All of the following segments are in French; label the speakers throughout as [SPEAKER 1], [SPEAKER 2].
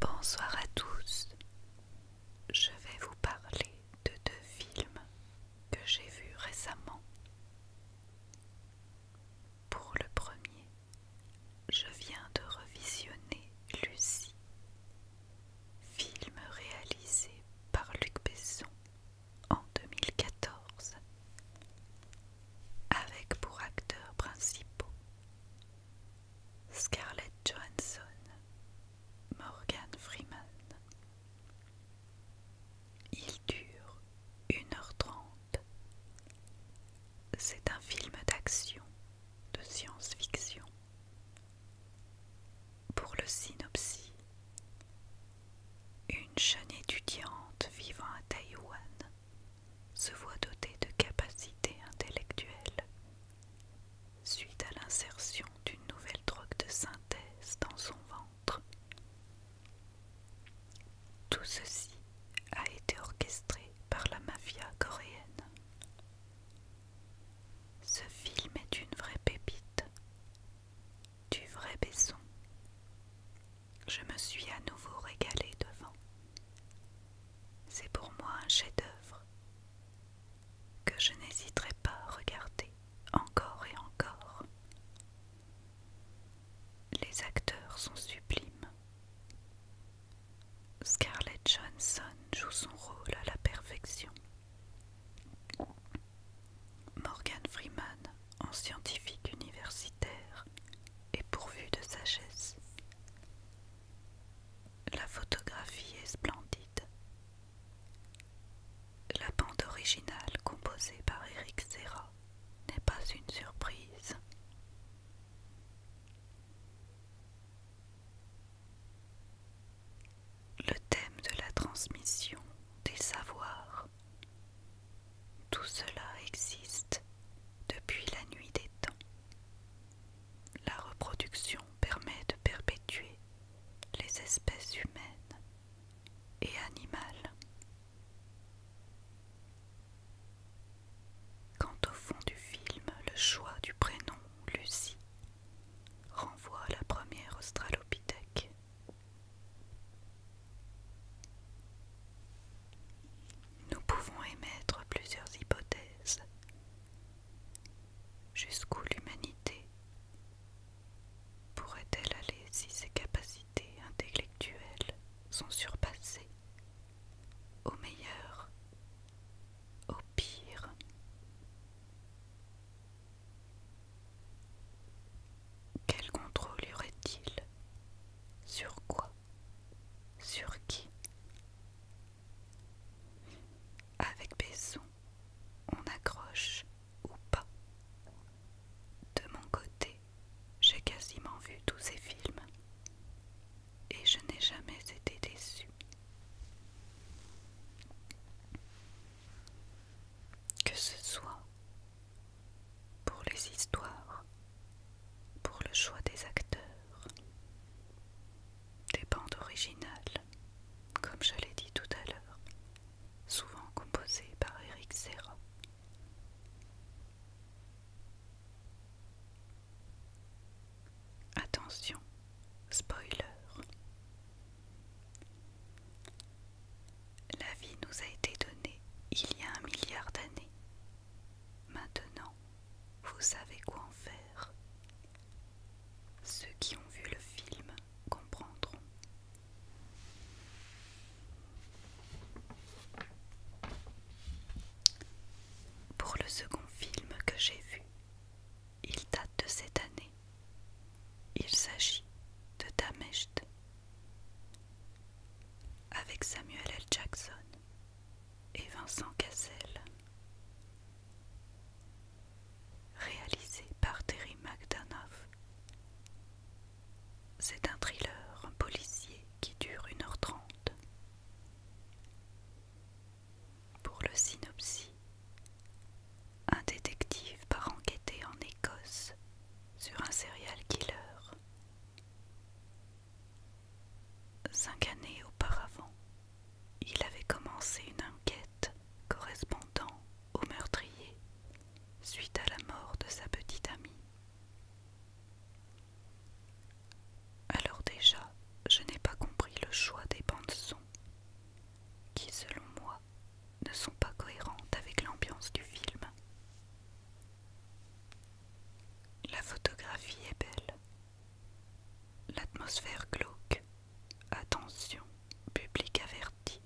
[SPEAKER 1] Bonsoir à tous. Je vais vous parler de deux films que j'ai vus récemment. Pour le premier, je viens de revisionner Lucie, film réalisé par Luc Besson en 2014, avec pour acteurs principaux Scarlett Johansson, Morgan Freeman. Il dure 1h30. C'est un film d'action, de science-fiction. Pour le synopsis, une jeune étudiante vivant à Taïwan se voit doté de capacités intellectuelles suite à l'insertion d'une nouvelle drogue de synthèse dans son ventre. Tout ceci a été orchestré par la mafia coréenne. Ce film est une vraie pépite, du vrai Besson je me suis à nouveau régalée devant. C'est pour moi un chef-d'œuvre que je n'hésiterai pas à regarder encore et encore. Les acteurs sont sublimes. Scarlett Johnson joue son rôle à la perfection. Morgan Freeman, en scientifique universitaire, est pourvu de sagesse. La photographie est splendide. La bande originale composée par Eric Serra n'est pas une surprise le thème de la transmission des savoirs. Tout cela existe depuis la nuit des temps. La reproduction permet de perpétuer les espèces humaines et animales. Quant au fond du film, le choix du prénom Lucie renvoie à la première Australopithèque nous pouvons émettre plusieurs hypothèses. Jusqu'où l'humanité pourrait-elle aller si ses capacités intellectuelles sont surpassées Au meilleur, au pire, quel contrôle y aurait-il Sur quoi Sur qui Avec Besson, on accroche ou pas. De mon côté, j'ai quasiment vu tous ces films et je n'ai jamais été déçue. Que ce soit pour les histoires, pour le choix des acteurs, des bandes originales, comme je l'ai dit tout à l'heure, souvent composées par Eric Serra. Attention, spoiler. La vie nous a été donnée il y a un milliard d'années. Maintenant, vous savez quoi en faire. Ceux qui ont vu le film comprendront pour le second film que j'ai vu. Il date de cette année. Il s'agit de Damest avec Samuel L. Jackson et Vincent Cassel. Réalisé par Terry mcdanoff C'est un thriller un policier qui dure 1h30. Pour le synopsis, un détective part enquêter en Écosse sur un serial killer. Cinq années auparavant, il avait commencé une enquête correspondant au meurtrier suite à la mort de sa petite amie. Alors déjà, je n'ai pas compris le choix des bandes-sons, qui selon moi ne sont pas cohérentes avec l'ambiance du film. La photographie est belle. L'atmosphère glauque. Attention, public averti.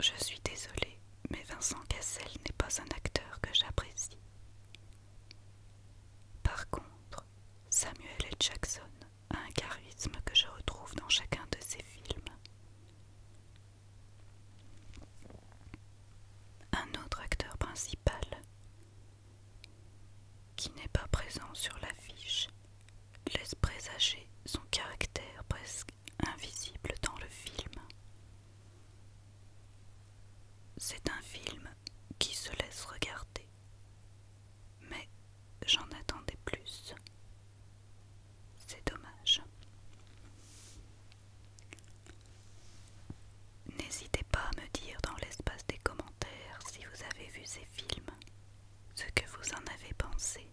[SPEAKER 1] Je suis désolée, mais Vincent Cassel n'est pas un acteur que j'apprécie. Par contre, Samuel L. Jackson a un charisme que je retrouve dans chacun de ses films. Un autre acteur principal qui n'est pas présent sur l'affiche laisse présager son caractère presque invisible dans le film. C'est un film qui se laisse regarder, mais j'en attendais plus. C'est dommage. N'hésitez pas à me dire dans l'espace des commentaires si vous avez vu ces films ce que vous en avez pensé.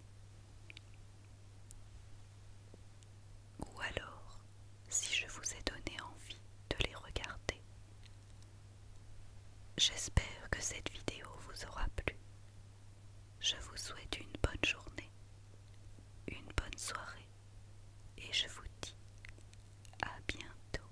[SPEAKER 1] Ou alors, si je vous ai donné envie de les regarder. J'espère que cette vidéo vous aura plu. Je vous souhaite une bonne journée, une bonne soirée et je vous dis à bientôt.